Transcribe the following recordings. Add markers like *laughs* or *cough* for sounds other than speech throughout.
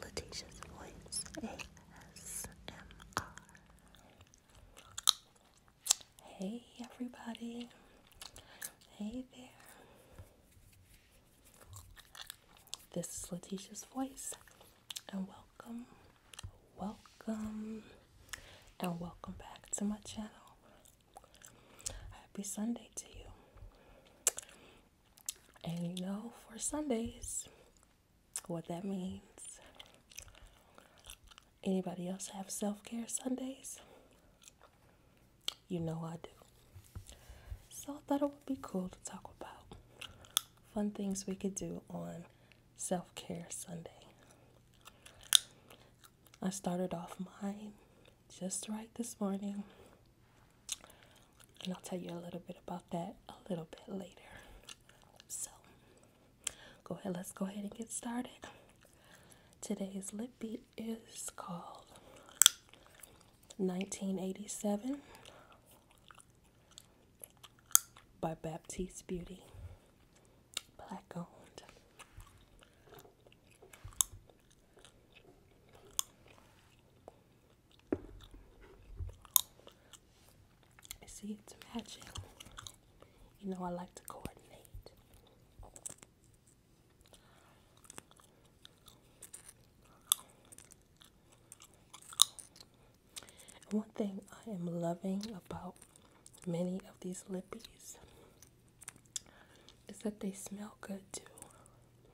Letitia's Voice ASMR. Hey everybody. Hey there. This is Letitia's Voice and welcome, welcome, and welcome back to my channel. Happy Sunday to you. And you know, for Sundays, what that means. Anybody else have self care Sundays? You know I do. So I thought it would be cool to talk about fun things we could do on self care Sunday. I started off mine just right this morning and I'll tell you a little bit about that a little bit later. So, go ahead, let's go ahead and get started. Today's lip beat is called 1987 by Baptiste Beauty, black owned. I see, it's matching. You know, I like to coordinate. one thing I am loving about many of these lippies is that they smell good too.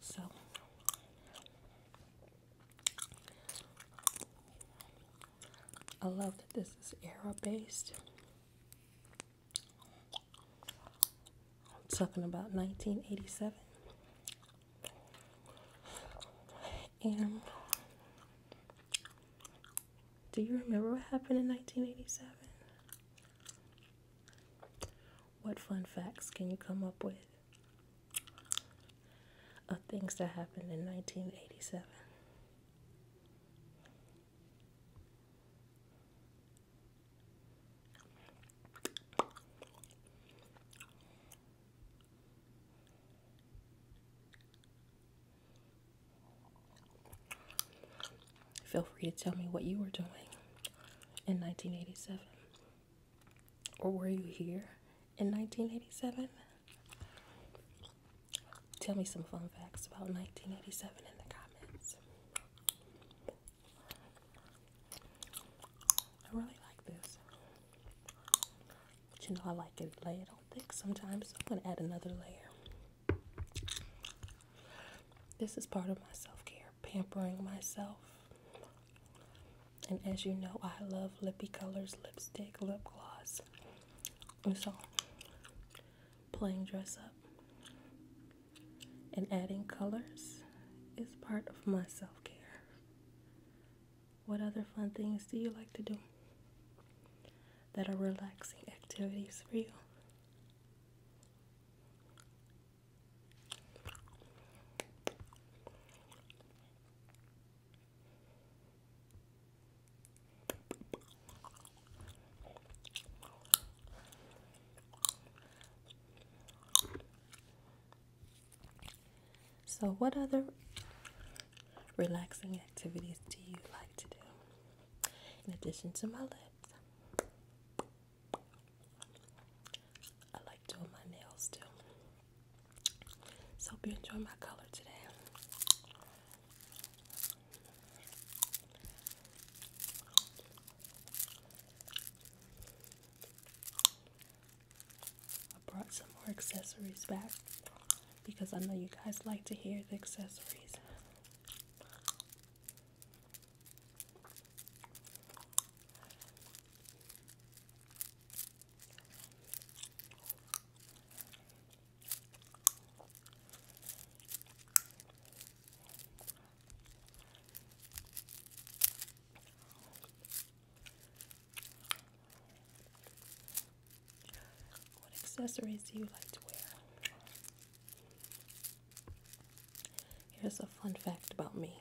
So I love that this is era based. I'm talking about 1987. And do you remember what happened in 1987? What fun facts can you come up with of things that happened in 1987? Feel free to tell me what you were doing in 1987. Or were you here in 1987? Tell me some fun facts about 1987 in the comments. I really like this. But you know, I like it layered on thick sometimes, so I'm going to add another layer. This is part of my self care, pampering myself. And as you know, I love lippy colors, lipstick, lip gloss. so playing dress up and adding colors is part of my self care. What other fun things do you like to do that are relaxing activities for you? So, what other relaxing activities do you like to do in addition to my lips? I like doing my nails too. So, hope you enjoy my color today. I brought some more accessories back because I know you guys like to hear the accessories. What accessories do you like to wear? Here's a fun fact about me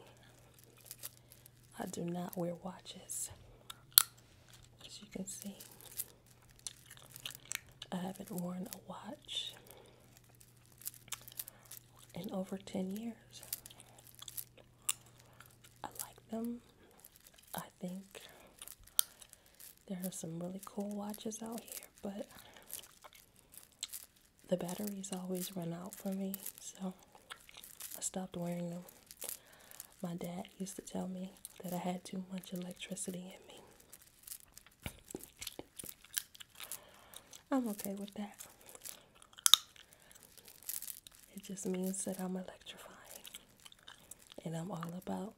I do not wear watches, as you can see. I haven't worn a watch in over 10 years. I like them. I think there are some really cool watches out here, but the batteries always run out for me, so I stopped wearing them. My dad used to tell me that I had too much electricity in me. I'm okay with that. It just means that I'm electrifying. And I'm all about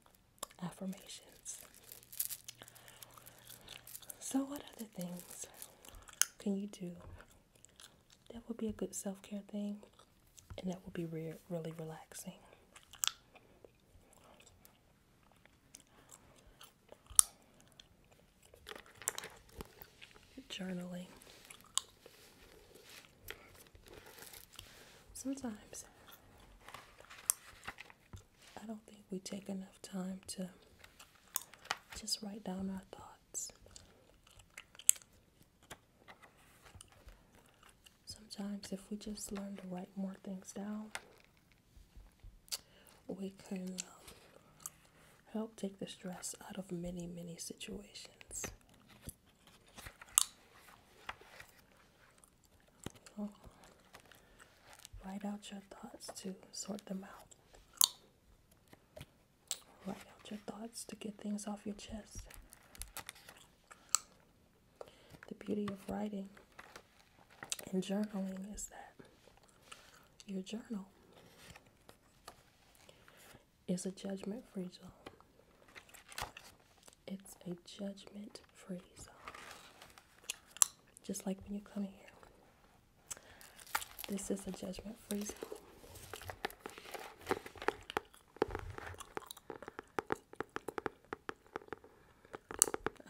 affirmations. So, what other things can you do that would be a good self care thing? And that would be re- really relaxing. Journaling. Sometimes I don't think we take enough time to just write down our thoughts. Sometimes, if we just learn to write more things down, we can um, help take the stress out of many, many situations. Oh, write out your thoughts to sort them out. Write out your thoughts to get things off your chest the beauty of writing and journaling is that your journal is a judgment free zone. It's a judgment free zone. Just like when you come here. This is a judgment free zone.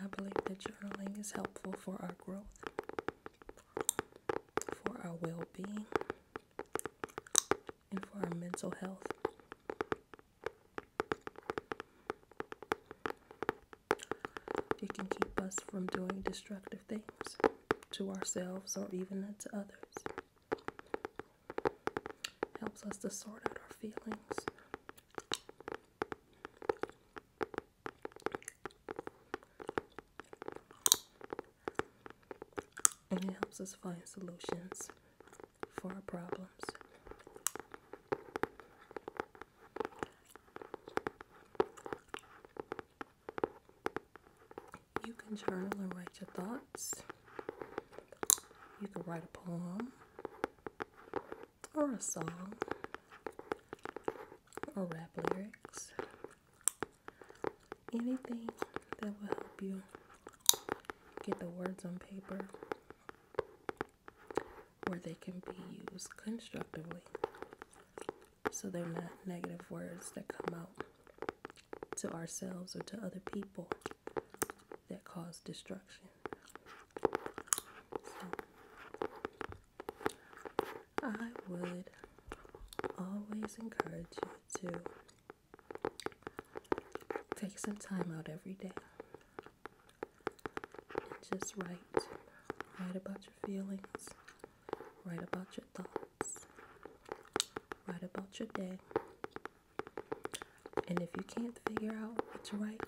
I believe that journaling is helpful for our growth, for our well being, and for our mental health. It can keep us from doing destructive things to ourselves or even to others. Helps us to sort out our feelings. And it helps us find solutions for our problems. You can journal and write your thoughts. You can write a poem or a song or rap lyrics. Anything that will help you get the words on paper where they can be used constructively so they're not negative words that come out to ourselves or to other people that cause destruction. I would always encourage you to take some time out every day and just write. Write about your feelings, write about your thoughts, write about your day, and if you can't figure out what's right,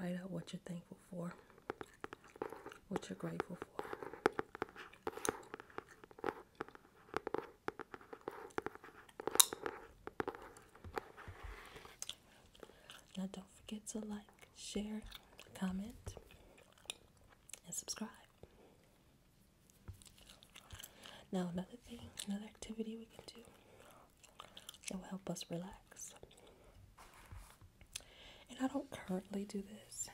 write out what you're thankful for, what you're grateful for. Now, don't forget to like, share, comment, and subscribe. Now, another thing, another activity we can do that will help us relax. And I don't currently do this,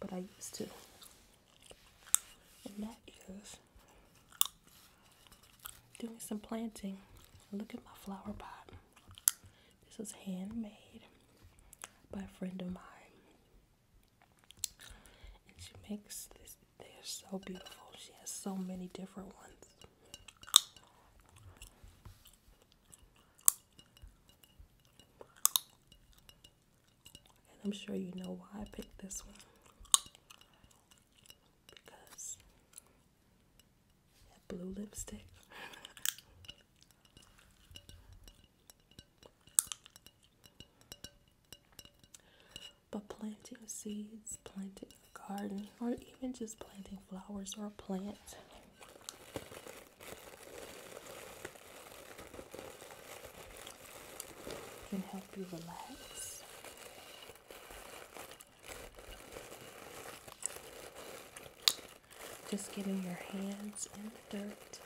but I used to. And that is doing some planting. Look at my flower pot. This is handmade by a friend of mine. And she makes this. They are so beautiful. She has so many different ones. And I'm sure you know why I picked this one. Because blue lipstick. *laughs* But planting seeds, planting a garden, or even just planting flowers or a plant. Can help you relax just getting your hands in the dirt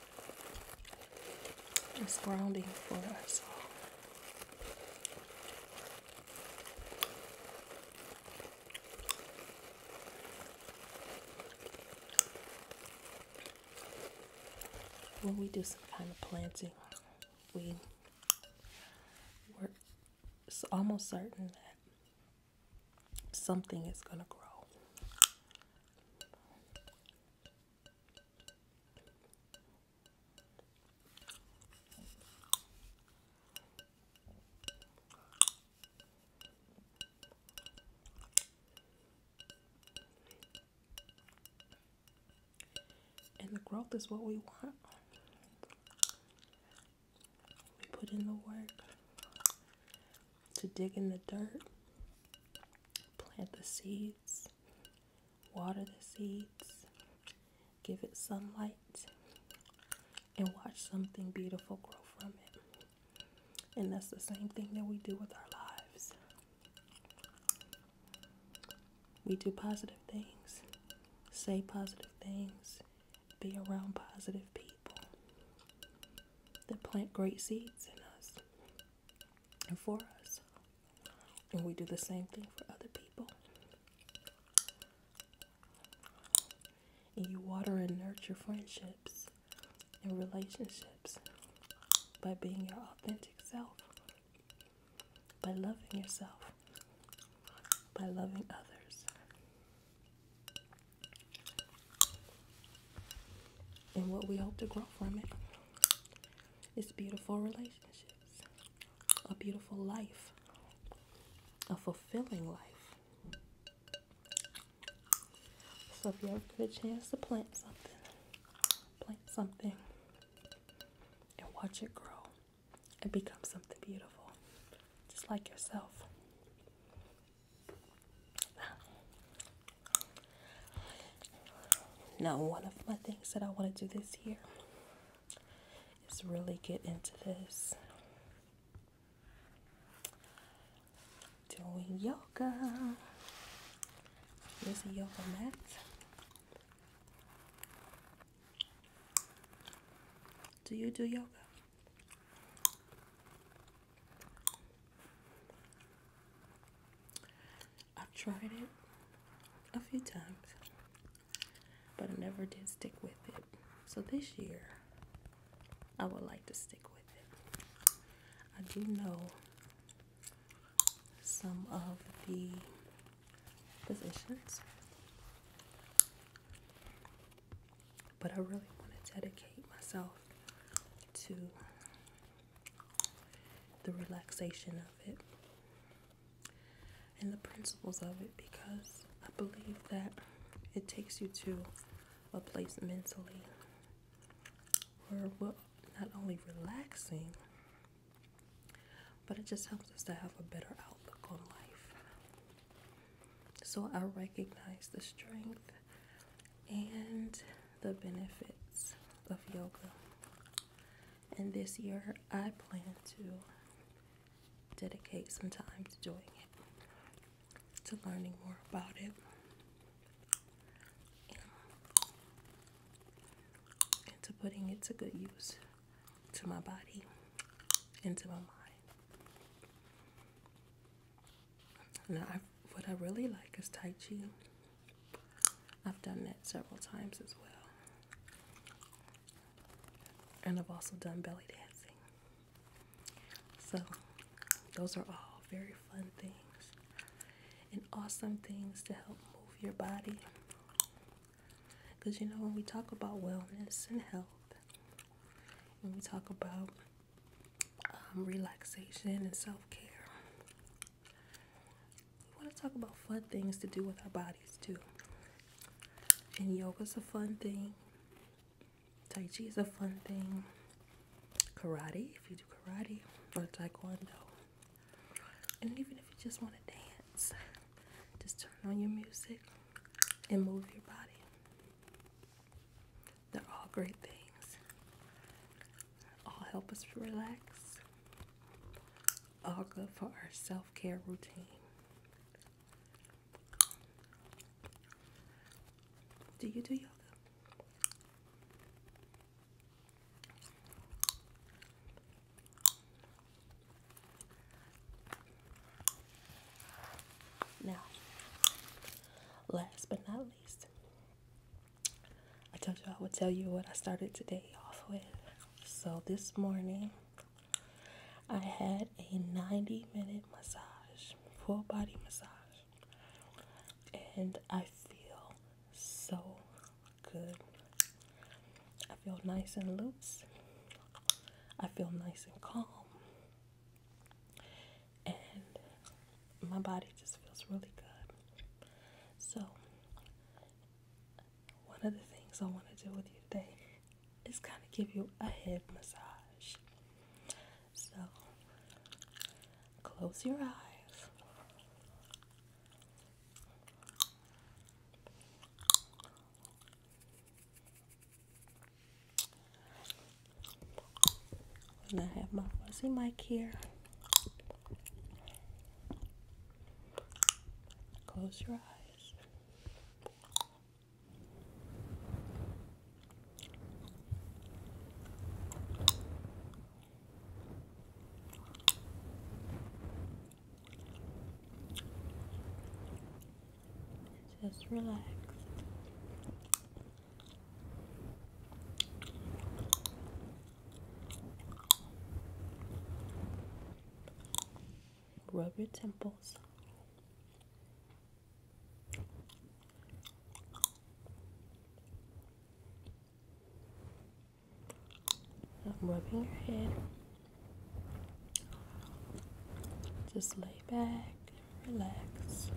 is grounding for us all. When we do some kind of planting, we we're almost certain that something is going to grow. And the growth is what we want. We put in the work to dig in the dirt, plant the seeds, water the seeds, give it sunlight, and watch something beautiful grow from it. And that's the same thing that we do with our lives. We do positive things, say positive things, be around positive people that plant great seeds in us and for us. And we do the same thing for other people. And you water and nurture friendships and relationships by being your authentic self, by loving yourself, by loving others and what we hope to grow from it is beautiful relationships, a beautiful life, a fulfilling life. So, if you ever get a chance to plant something, plant something and watch it grow and become something beautiful, just like yourself. Now, one of my things that I want to do this year is really get into this doing yoga. There's yoga mat. Do you do yoga? I've tried it a few times, but I never did stick with it. So this year, I would like to stick with it. I do know some of the positions but I really want to dedicate myself to the relaxation of it and the principles of it because I believe that it takes you to a place mentally where we're not only relaxing, but it just helps us to have a better outlook on life. So I recognize the strength and the benefits of yoga. And this year I plan to dedicate some time to doing it, to learning more about it. and To putting it to good use to my body and to my mind what I really like is Tai Chi. I've done that several times as well. And I've also done belly dancing. So, those are all very fun things and awesome things to help move your body. Because you know, when we talk about wellness and health, when we talk about um, relaxation and self care. We want to talk about fun things to do with our bodies too. And yoga's a fun thing, Tai Chi is a fun thing, karate, if you do karate, or taekwondo. And even if you just want to dance, just turn on your music and move your body. They're all great things. All help us relax. All good for our self care routine. Do you do yoga? Now, last but not least, I told you I would tell you what I started today off with. So, this morning, I had a 90 minute massage, full body massage, and I feel so good. I feel nice and loose. I feel nice and calm. And my body just feels really good. So, one of the things I want to do with you today is kind of give you a head massage. So, close your eyes. And I have my fuzzy mic here. Close your eyes. Just relax. Rub your temples. I'm rubbing your head. Just lay back, and relax.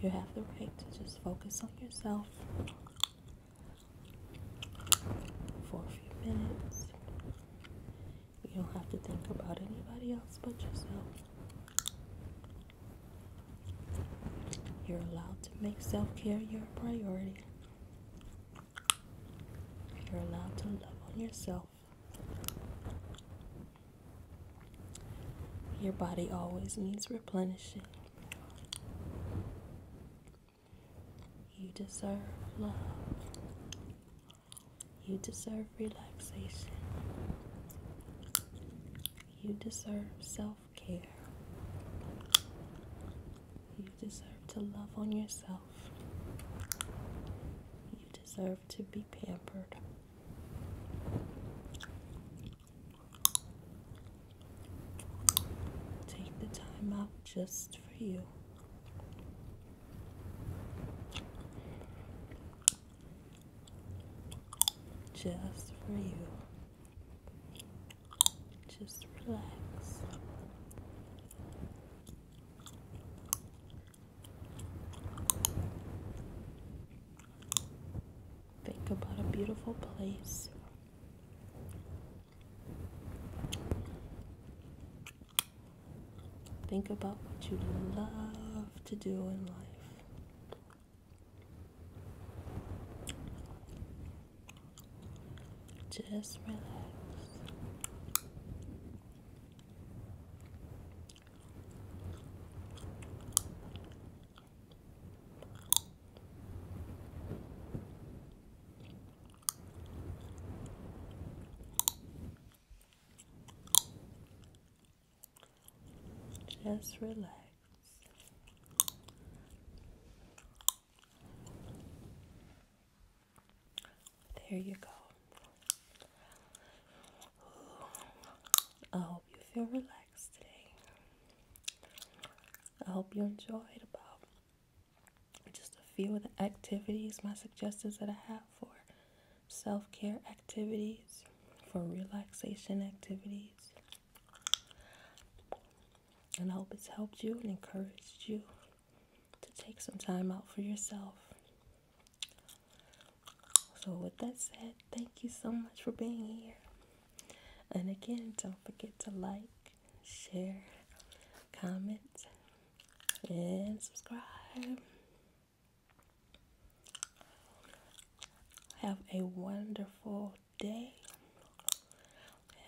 You have the right to just focus on yourself for a few minutes. You don't have to think about anybody else but yourself. You're allowed to make self care your priority. You're allowed to love on yourself. Your body always needs replenishing. You deserve love. You deserve relaxation. You deserve self care. You deserve to love on yourself. You deserve to be pampered. Take the time out just for you. Just for you. Just relax. Think about a beautiful place Think about what you love to do in life. Just relax. Just relax. There you go. I hope you feel relaxed today. I hope you enjoyed the bath just a few of the activities, my suggestions that I have for self care activities, for relaxation activities. And I hope it's helped you and encouraged you to take some time out for yourself. So, with that said, thank you so much for being here. And again, don't forget to like, share, comment, and subscribe. Have a wonderful day.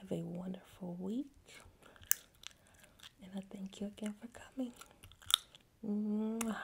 Have a wonderful week. And I thank you again for coming. Mwah.